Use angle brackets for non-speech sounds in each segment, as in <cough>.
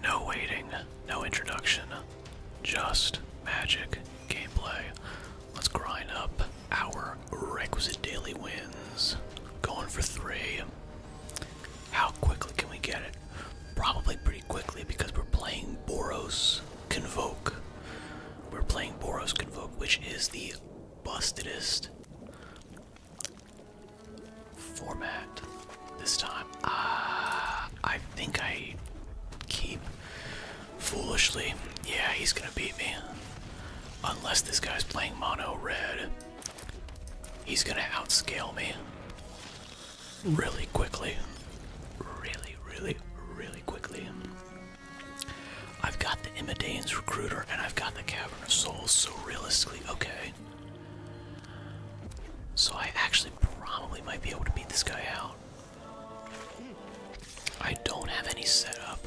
No waiting, no introduction, just magic gameplay. Let's grind up our requisite daily wins. Going for three. How quickly can we get it? Probably pretty quickly because we're playing Boros Convoke. We're playing Boros Convoke, which is the bustedest format this time. Ah, I think I keep foolishly. Yeah, he's gonna beat me. Unless this guy's playing mono red, he's gonna outscale me really quickly. Really, really, really quickly. I've got the Imidane's Recruiter and I've got the Cavern of Souls, so realistically, okay. So I actually probably might be able to beat this guy out. I don't have any setup.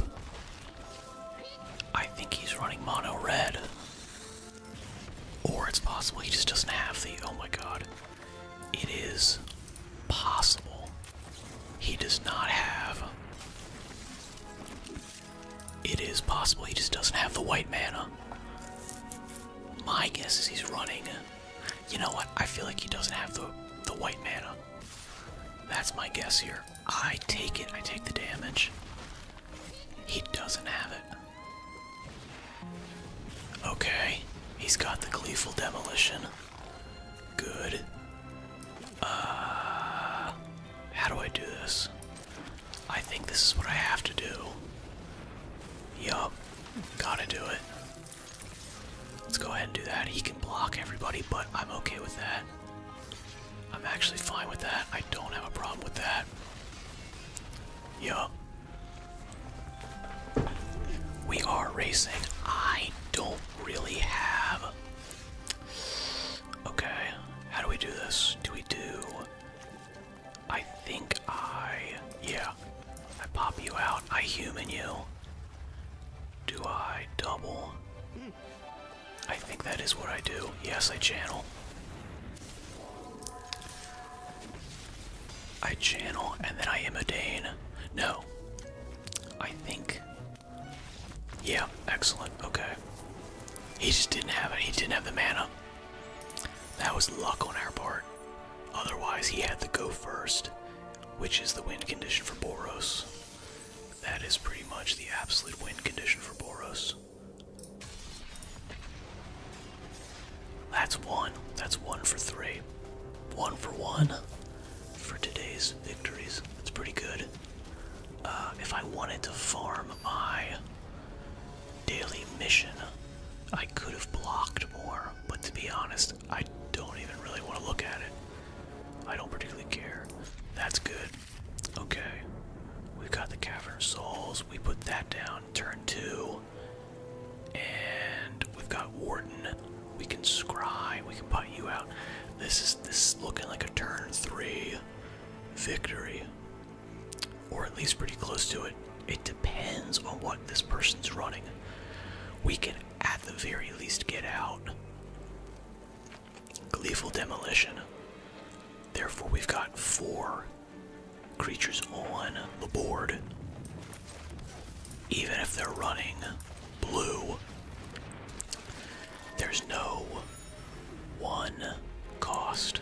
I think he's running mono red. Or it's possible he just doesn't have the. Oh my god. It is possible he does not have. It is possible he just doesn't have the white mana. My guess is he's running. You know what? I feel like he doesn't have the the white mana. That's my guess here. I take it. I take the damage. He doesn't have it. Okay. He's got the gleeful demolition. Good. Uh how do I do this? I think this is what I have to do. Yup. Gotta do it. Let's go ahead and do that. He can block everybody, but I'm okay with that. I'm actually fine with that. I don't have a problem with that. Yup. We are racing. I don't really have. Okay, how do we do this? Do we do I think I. Yeah. I pop you out. I human you. Do I double? I think that is what I do. Yes, I channel. I channel and then I imodane. No. I think. Yeah, excellent. Okay. He just didn't have it. He didn't have the mana. That was luck on our part. Otherwise, he had to go first, which is the wind condition for Boros. That is pretty much the absolute wind condition for Boros. That's one. That's one for three. One for one for today's victories. That's pretty good. Uh, if I wanted to farm I daily mission. I could have blocked more, but to be honest, I don't even really want to look at it. I don't particularly care. That's good. Okay. We've got the Cavern Souls. We put that down. Turn two. And we've got Warden. We can scry. We can put you out. This is this is looking like a turn three victory or at least pretty close to it. It depends on what this person's running. We can, at the very least, get out. Gleeful Demolition. Therefore, we've got four creatures on the board. Even if they're running blue, there's no one cost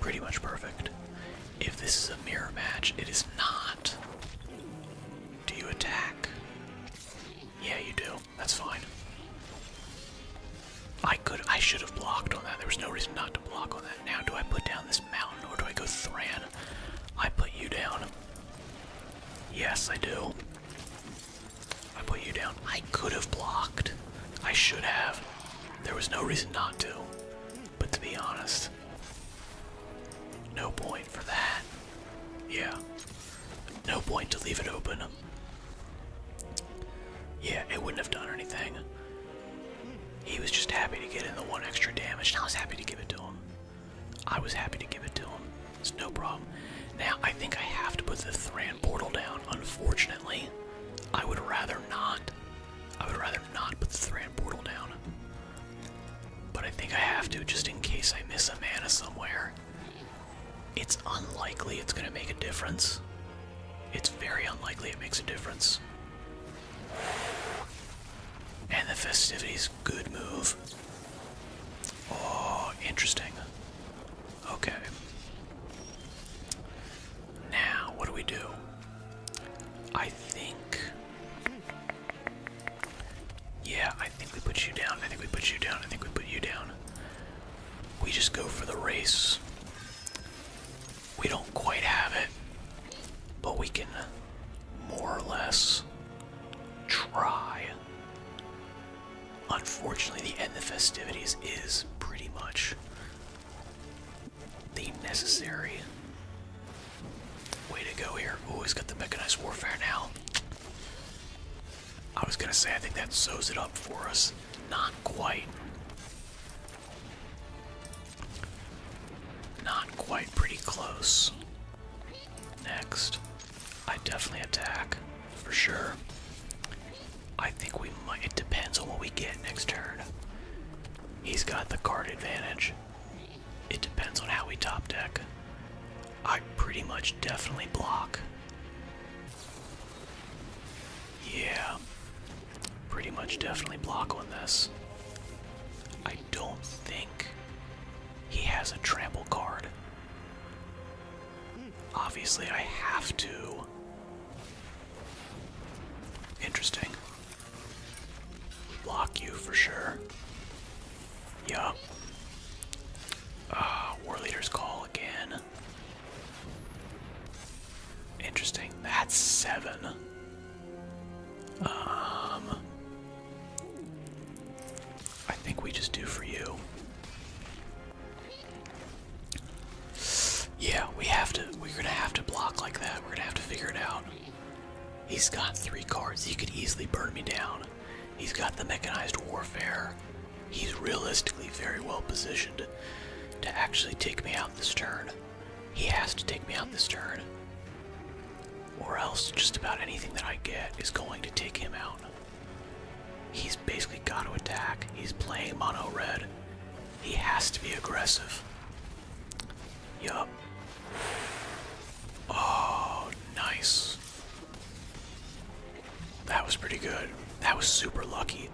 Pretty much perfect. If this is a mirror match, it is not. Do you attack? Yeah, you do. That's fine. I could I should have blocked on that. There was no reason not to block on that. Now do I put down this mountain or do I go Thran? I put you down. Yes, I do. I put you down. I could have blocked. I should have. There was no reason not to. But to be honest, no point for that. Yeah. No point to leave it open. Yeah, it wouldn't have done anything. He was just happy to get in the one extra damage, and I was happy to give it to him. I was happy to give it to him. It's no problem. Now, I think I have to put the three Portal down, unfortunately. I would rather not. I would rather not put the Thran Portal down. But I think I have to just in case I miss a mana somewhere. It's unlikely it's going to make a difference. It's very unlikely it makes a difference. And the festivities, good move. Oh, interesting. Okay. Now, what do we do? I think. Yeah, I think we put you down. I think we put you down. I think we put you down. We just go for the race. We don't quite have it, but we can more or less try. Unfortunately, the end of the festivities is pretty much the necessary way to go here. Oh, he's got the mechanized warfare now. I was gonna say, I think that sews it up for us. Not quite. Not quite, pretty close. Next. I definitely attack, for sure. I think we might, it depends on what we get next turn. He's got the card advantage. It depends on how we top deck. I pretty much definitely block. Yeah, pretty much definitely block on this. I don't think he has a trample card. Obviously, I have to. Interesting. Block you for sure. Yup. Ah, War Leader's Call again. Interesting. That's seven. Um. I think we just do for you. Yeah, we have to. We're gonna have to block like that. We're gonna have to figure it out. He's got three cards. He could easily burn me down. He's got the mechanized warfare. He's realistically very well positioned to actually take me out this turn. He has to take me out this turn. Or else, just about anything that I get is going to take him out. He's basically got to attack. He's playing mono red. He has to be aggressive. Yup. Oh, nice. That was pretty good. That was super lucky.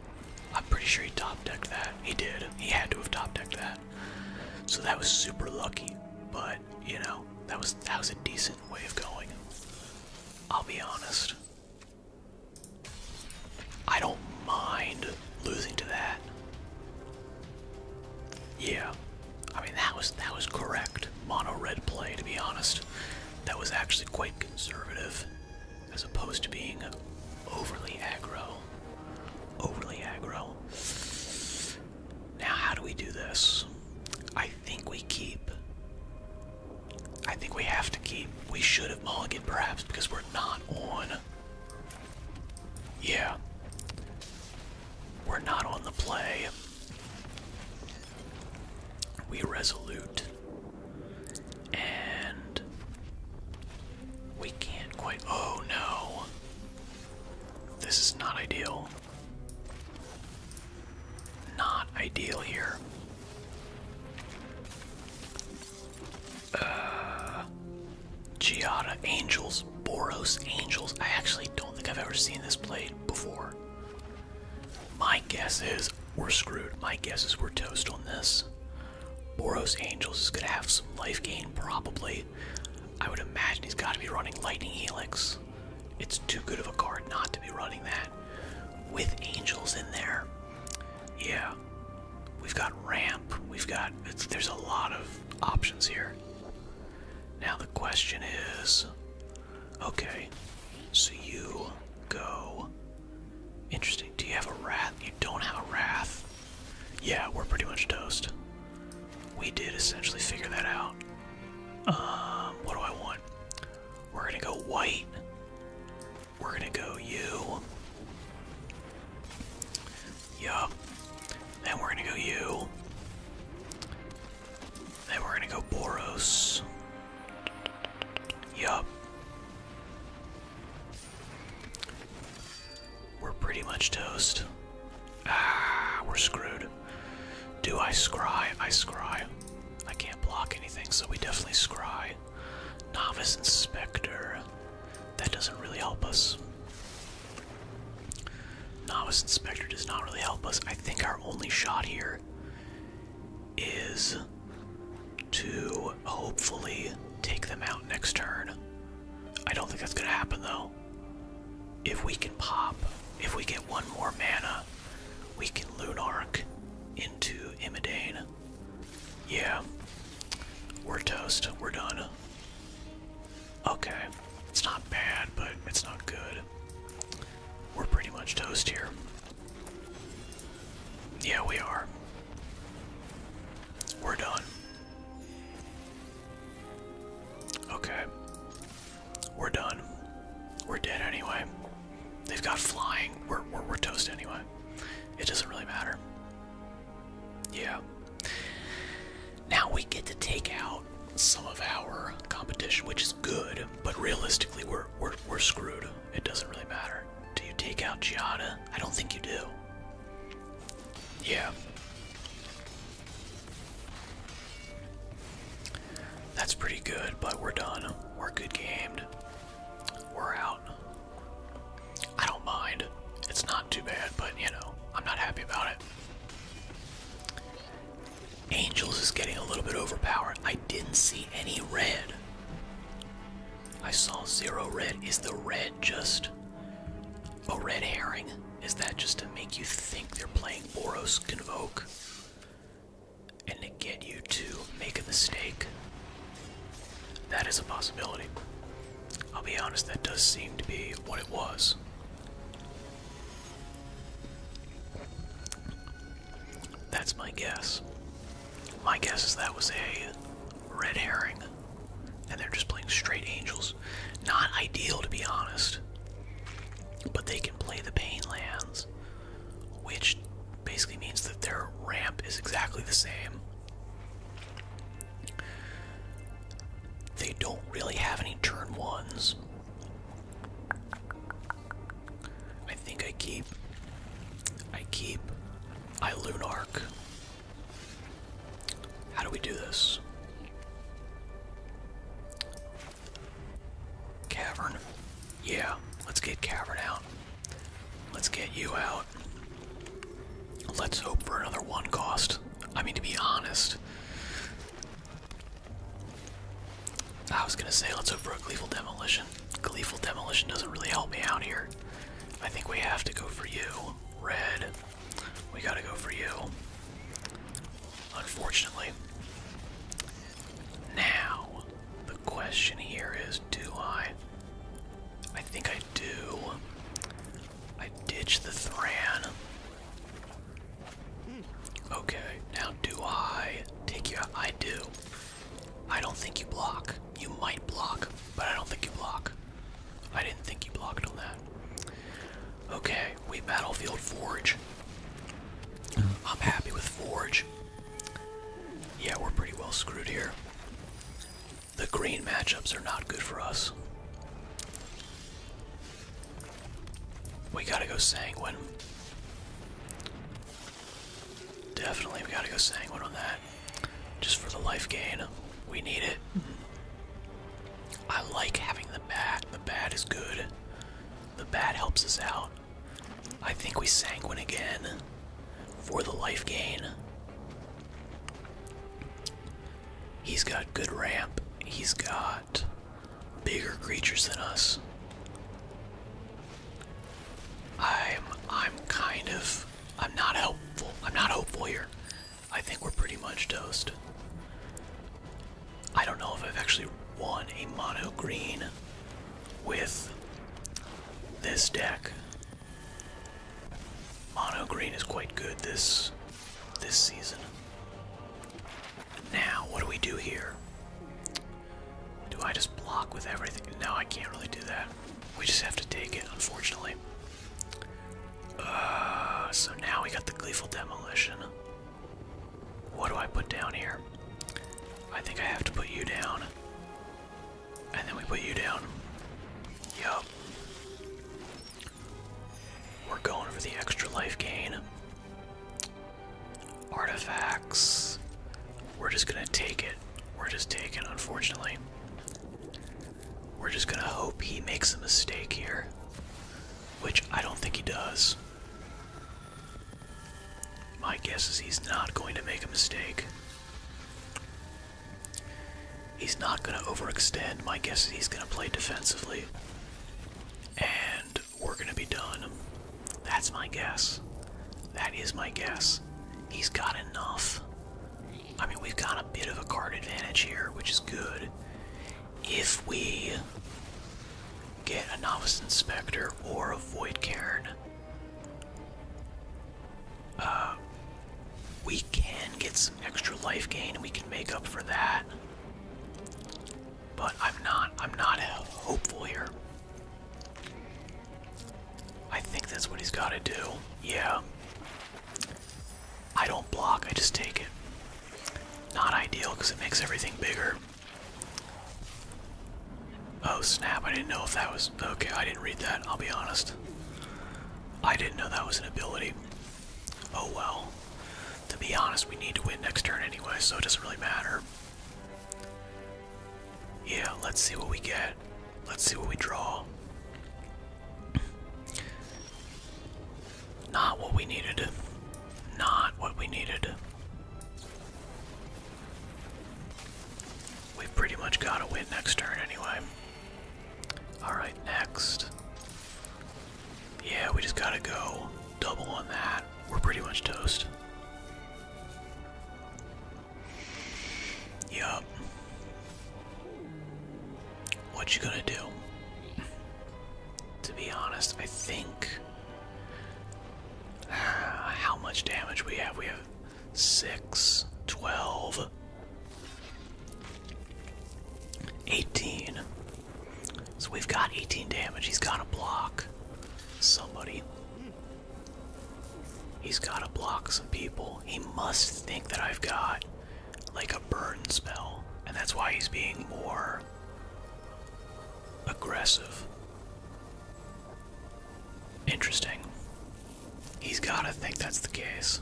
I'm pretty sure he top decked that. He did. He had to have top decked that. So that was super lucky. But you know, that was that was a decent way of going. I'll be honest. I don't mind losing to that. Yeah. I mean that was that was correct. Mono red play to be honest. That was actually quite conservative as opposed to being overly aggro. Overly aggro. Now how do we do this? I think we keep I think we have to keep. We should have mulligan perhaps because we're not on. Yeah. We're not on the play. We resolute. And. We can't quite. Oh no. This is not ideal. Not ideal here. Uh, Angels, Boros Angels. I actually don't think I've ever seen this played before. My guess is we're screwed. My guess is we're toast on this. Boros Angels is going to have some life gain, probably. I would imagine he's got to be running Lightning Helix. It's too good of a card not to be running that. With angels in there. Yeah. We've got ramp. We've got. It's, there's a lot of options here. Now the question is okay, so you go. Interesting. Do you have a wrath? You don't have a wrath. Yeah, we're pretty much toast. We did essentially figure that out. Um, what do I want? We're gonna go white. We're gonna go you. Yup. Then we're gonna go you. Then we're gonna go Boros. Yup. We're pretty much toast. Ah, we're screwed. Do I scry? I scry. I can't block anything, so we definitely scry. Novice Inspector. That doesn't really help us. Novice Inspector does not really help us. I think our only shot here is to hopefully take them out next turn. I don't think that's going to happen, though. If we can pop, if we get one more mana, we can Lunark into Imidane. Yeah. We're toast. We're done. Okay. It's not bad, but it's not good. We're pretty much toast here. Yeah, we are. We're done. Okay. We're done. We're dead anyway. They've got flying. We're, toast anyway. It doesn't really matter. Yeah. Now we get to take out some of our competition, which is good, but realistically, we're, we're, we're screwed. It doesn't really matter. Do you take out Giada? I don't think you do. Yeah. That's pretty good, but we're done. We're good gamed. We're out. I don't mind. It's not too bad, but you know, I'm not happy about it. Angels is getting a little bit overpowered. I didn't see any red. I saw zero red. Is the red just a red herring? Is that just to make you think they're playing Boros Convoke? and to get you to make a mistake. That is a possibility. I'll be honest, that does seem to be what it was. That's my guess. My guess is that was a red herring, and they're just playing straight angels. Not ideal, to be honest, but they can play the pain lands which basically means that their ramp is exactly the same. They don't really have any turn ones. I think I keep I keep Ilunark. How do we do this? Cavern. Yeah, let's get Cavern out. Let's get you out. Let's hope for another one cost. I mean, to be honest, I was gonna say let's hope for a Gleeful Demolition. Gleeful Demolition doesn't really help me out here. I think we have to go for you. Red. We gotta go for you. Unfortunately. Now, the question here is do I? I think I do. I ditch the Thran. Okay, now do I take you out? I do. I don't think you block. You might block, but I don't think you block. I didn't think you blocked on that. Okay, we battlefield Forge. Oh. I'm happy with Forge. Yeah, we're pretty well screwed here. The green matchups are not good for us. We gotta go Sanguine. Definitely, we gotta go Sanguine on that. Just for the life gain. We need it. Mm-hmm. I like having the bat. The bat is good. The bat helps us out. I think we sanguine again for the life gain. He's got good ramp. He's got bigger creatures than us. I'm I'm kind of I'm not hopeful. I'm not hopeful here. I think we're pretty much toast. I don't know if I've actually won a mono green with this deck. Mono green is quite good this this season. Now, what do we do here? Do I just block with everything? No, I can't really do that. We just have to take it, unfortunately. Uh, so now we got the Gleeful Demolition. What do I put down here? I think I have to put you down. And then we put you down. Yup. We're going for the extra life gain. Artifacts. We're just gonna take it. We're just taking, unfortunately. We're just gonna hope he makes a mistake here. Which I don't think he does. My guess is he's not going to make a mistake. He's not going to overextend. My guess is he's going to play defensively. And we're going to be done. That's my guess. That is my guess. He's got enough. I mean, we've got a bit of a card advantage here, which is good if we get a novice inspector or a void cairn, uh, we can get some extra life gain and we can make up for that. But I'm not, I'm not hopeful here. I think that's what he's got to do. Yeah. I don't block, I just take it. Not ideal because it makes everything bigger. Oh snap, I didn't know if that was. Okay, I didn't read that, I'll be honest. I didn't know that was an ability. Oh well. To be honest, we need to win next turn anyway, so it doesn't really matter. Yeah, let's see what we get. Let's see what we draw. Not what we needed. Not what we needed. We pretty much got to win next turn anyway. Alright, next. Yeah, we just gotta go double on that. We're pretty much toast. Yup. What you gonna do? to be honest, I think uh, how much damage we have. We have 6, 12, 18. So we've got 18 damage. He's got to block somebody. He's got to block some people. He must think that I've got like a burn smell, and that's why he's being more aggressive. Interesting. He's gotta think that's the case.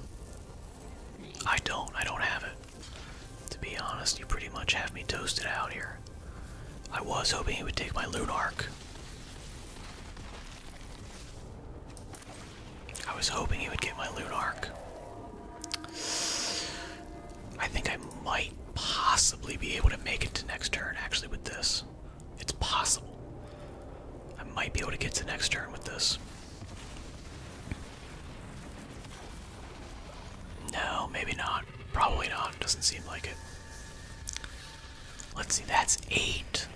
I don't. I don't have it. To be honest, you pretty much have me toasted out here. I was hoping he would take my Lunark. I was hoping he would get my Lunark. I think I might possibly be able to make it to next turn actually with this. It's possible. I might be able to get to next turn with this. No, maybe not. Probably not. Doesn't seem like it. Let's see, that's eight.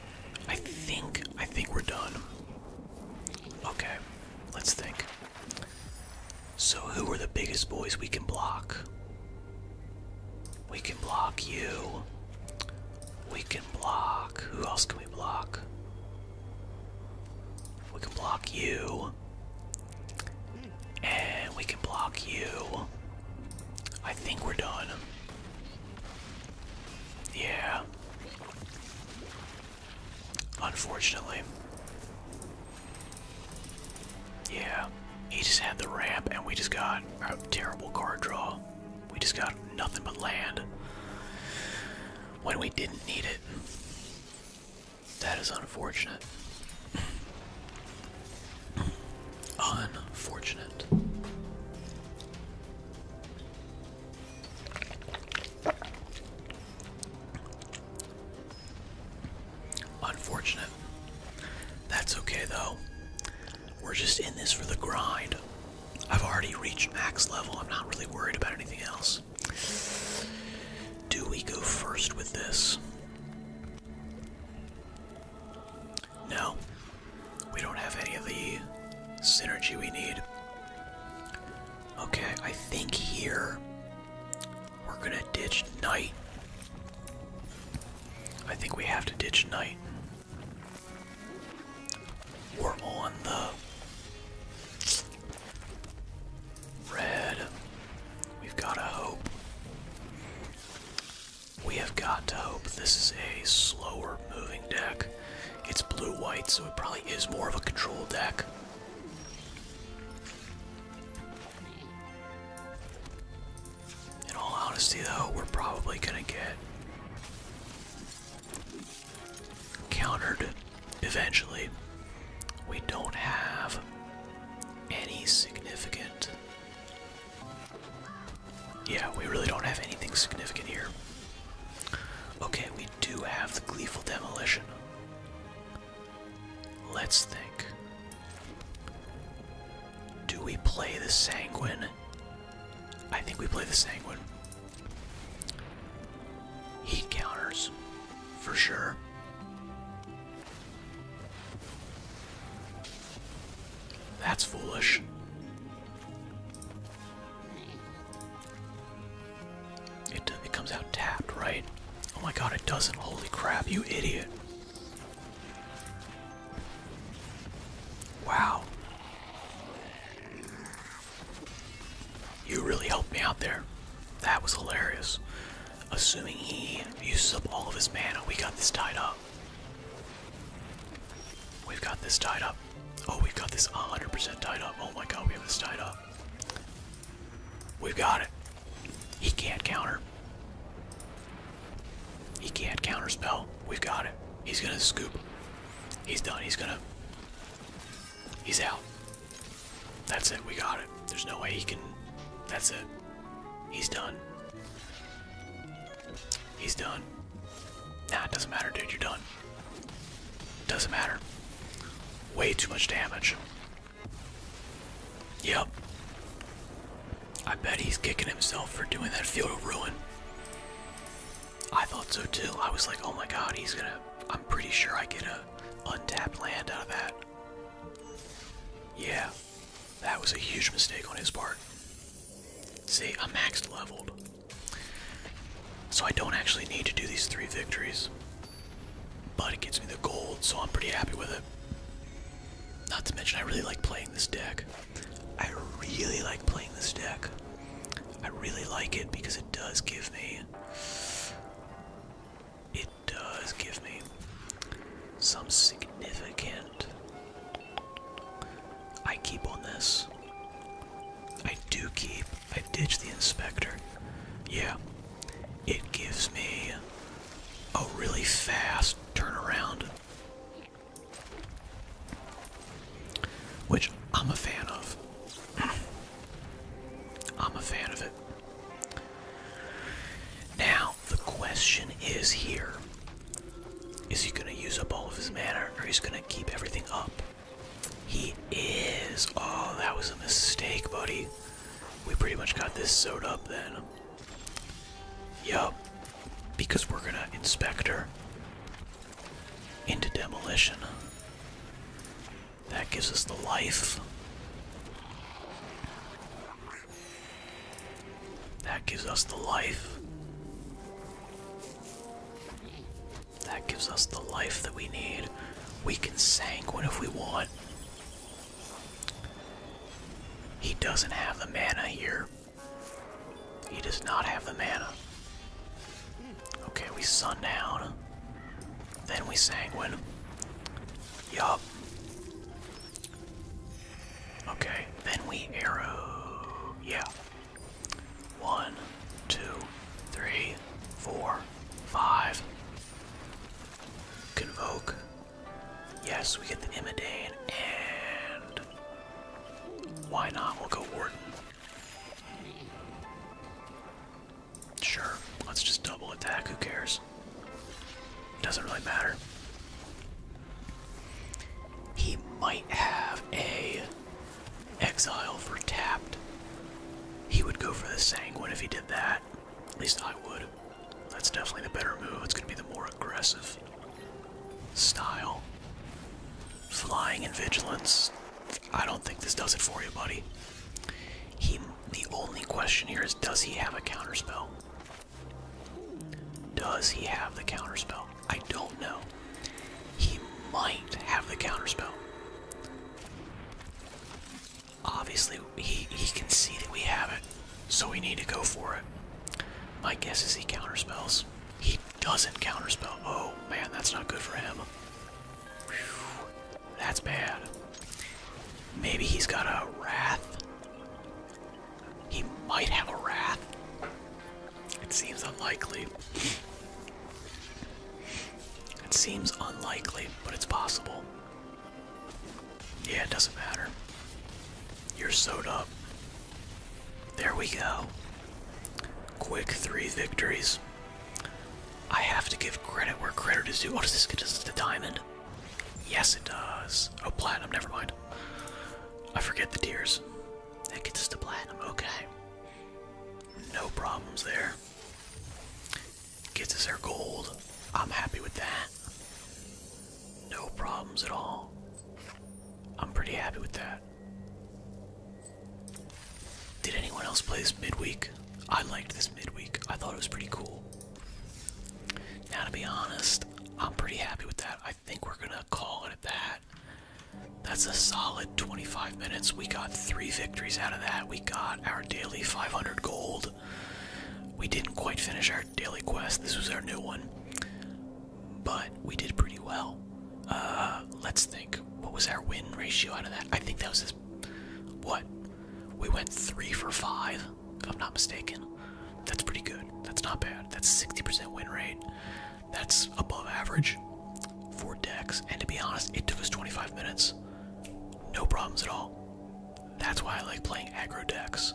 I think, I think we're done. Okay, let's think. So, who are the biggest boys we can block? We can block you. We can block. Who else can we block? We can block you. And we can block you. I think we're done. Yeah. Unfortunately. Yeah, he just had the ramp, and we just got a terrible card draw. We just got nothing but land when we didn't need it. That is unfortunate. <clears throat> unfortunate. Unfortunate. That's okay though. We're just in this for the grind. I've already reached max level. I'm not really worried about anything else. Do we go first with this? No. We don't have any of the synergy we need. Okay, I think here we're gonna ditch Knight. I think we have to ditch Knight. We're on the red. We've got to hope. We have got to hope. This is a slower moving deck. It's blue white, so it probably is more of a control deck. In all honesty, though, we're probably gonna get countered eventually. We don't have any significant. Yeah, we really don't have anything significant here. Okay, we do have the gleeful demolition. Let's think. Do we play the sanguine? I think we play the sanguine. Heat counters, for sure. That's foolish. It, it comes out tapped, right? Oh my god, it doesn't. Holy crap, you idiot. Wow. You really helped me out there. That was hilarious. Assuming he uses up all of his mana, we got this tied up. We've got this tied up. Oh, we got this 100% tied up. Oh my god, we have this tied up. We've got it. He can't counter. He can't counterspell. We've got it. He's gonna scoop. He's done. He's gonna. He's out. That's it. We got it. There's no way he can. That's it. He's done. He's done. Nah, it doesn't matter, dude. You're done. Doesn't matter. Way too much damage. Yep. I bet he's kicking himself for doing that field of ruin. I thought so too. I was like, oh my god, he's gonna. I'm pretty sure I get a untapped land out of that. Yeah, that was a huge mistake on his part. See, I'm maxed leveled. So I don't actually need to do these three victories. But it gets me the gold, so I'm pretty happy with it. Not to mention, I really like playing this deck. I really like playing this deck. I really like it because it does give me. It does give me some significant. I keep on this. I do keep I ditched the inspector. Yeah, it gives me a really fast turnaround, which I'm a fan of. <clears throat> I'm a fan of it. Now, the question is here is he going to use up all of his mana or is he going to keep everything up? He is. Oh, that was a mistake, buddy. We pretty much got this sewed up then. Yup. Because we're gonna inspect her into demolition. That gives us the life. That gives us the life. That gives us the life that we need. We can sanguine if we want. He doesn't have the mana here. He does not have the mana. Okay, we sun down. Then we sanguine. Yup. Okay, then we arrow. Yeah, one, two, three, four, five. Convoke. Yes, we get the Imidane, and why not? We'll go Warden. Sure, let's just double attack, who cares? Doesn't really matter. He might have a Exile for tapped. He would go for the Sanguine if he did that. At least I would. That's definitely the better move. It's going to be the more aggressive style. Flying and Vigilance. I don't think this does it for you, buddy. He, the only question here is does he have a counterspell? Does he have the counterspell? I don't know. He might have the counterspell. Obviously, he, he can see that we have it, so we need to go for it. My guess is he counterspells. He doesn't counterspell. Oh man, that's not good for him. that's bad. Maybe he's got a wrath. He might have a wrath. It seems unlikely. It seems unlikely, but it's possible. Yeah, it doesn't matter. You're sewed up. There we go. Quick three victories. I have to give credit where credit is due. Oh, does this get us the diamond? Yes, it does. Oh, platinum, never mind. I forget the tears. That gets us to platinum, okay. No problems there. Gets us our gold. I'm happy with that. No problems at all. I'm pretty happy with that. Did anyone else play this midweek? I liked this midweek. I thought it was pretty cool. Now, to be honest, I'm pretty happy with that. I think we're gonna call it at that. That's a solid 25 minutes. We got three victories out of that. We got our daily 500 gold. We didn't quite finish our daily quest. This was our new one. But we did pretty well. Uh, let's think. What was our win ratio out of that? I think that was this. What? We went three for five, if I'm not mistaken. That's pretty good. That's not bad. That's 60% win rate. That's above average for decks. And to be honest, it took us 25 minutes. No problems at all. That's why I like playing aggro decks.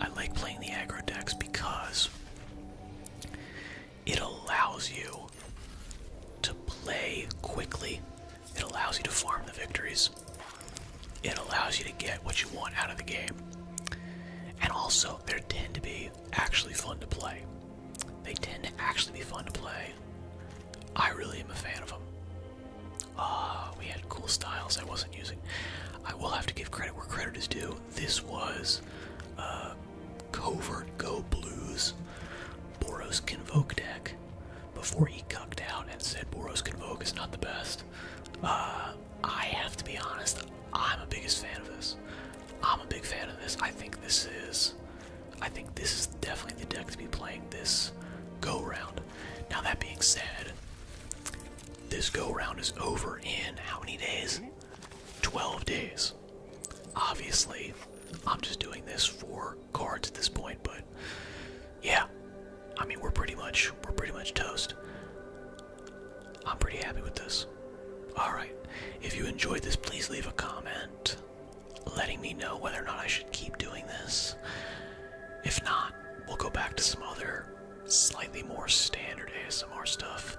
I like playing the aggro decks because it allows you to play quickly. It allows you to farm the victories. It allows you to get what you want out of the game. And also, there tend to be actually fun to play. They tend to actually be fun to play. I really am a fan of them. Uh, ah, we had cool styles I wasn't using. I will have to give credit where credit is due. This was uh, Covert Go Blues Boros Convoke deck before he cucked out and said Boros Convoke is not the best. Uh, I have to be honest, I'm a biggest fan of this. I'm a big fan of this. I think this is I think this is definitely the deck to be playing this go round. Now that being said, this go round is over in how many days? 12 days. Obviously, I'm just doing this for cards at this point, but yeah. I mean, we're pretty much we're pretty much toast. I'm pretty happy with this. Alright, if you enjoyed this, please leave a comment letting me know whether or not I should keep doing this. If not, we'll go back to some other slightly more standard ASMR stuff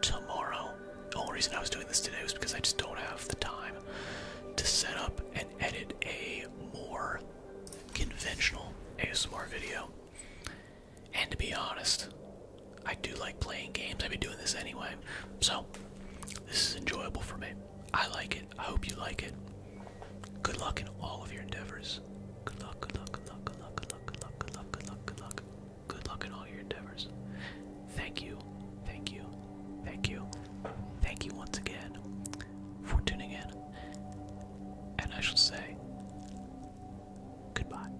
tomorrow. The only reason I was doing this today was because I just don't have the time to set up and edit a more conventional ASMR video. And to be honest, I do like playing games. I've been doing this anyway. So, this is enjoyable for me. I like it. I hope you like it. Good luck in all of your endeavors. Good luck, good luck, good luck, good luck, good luck, good luck, good luck, good luck, good luck. Good luck in all your endeavors. Thank you, thank you, thank you, thank you once again for tuning in. And I shall say goodbye.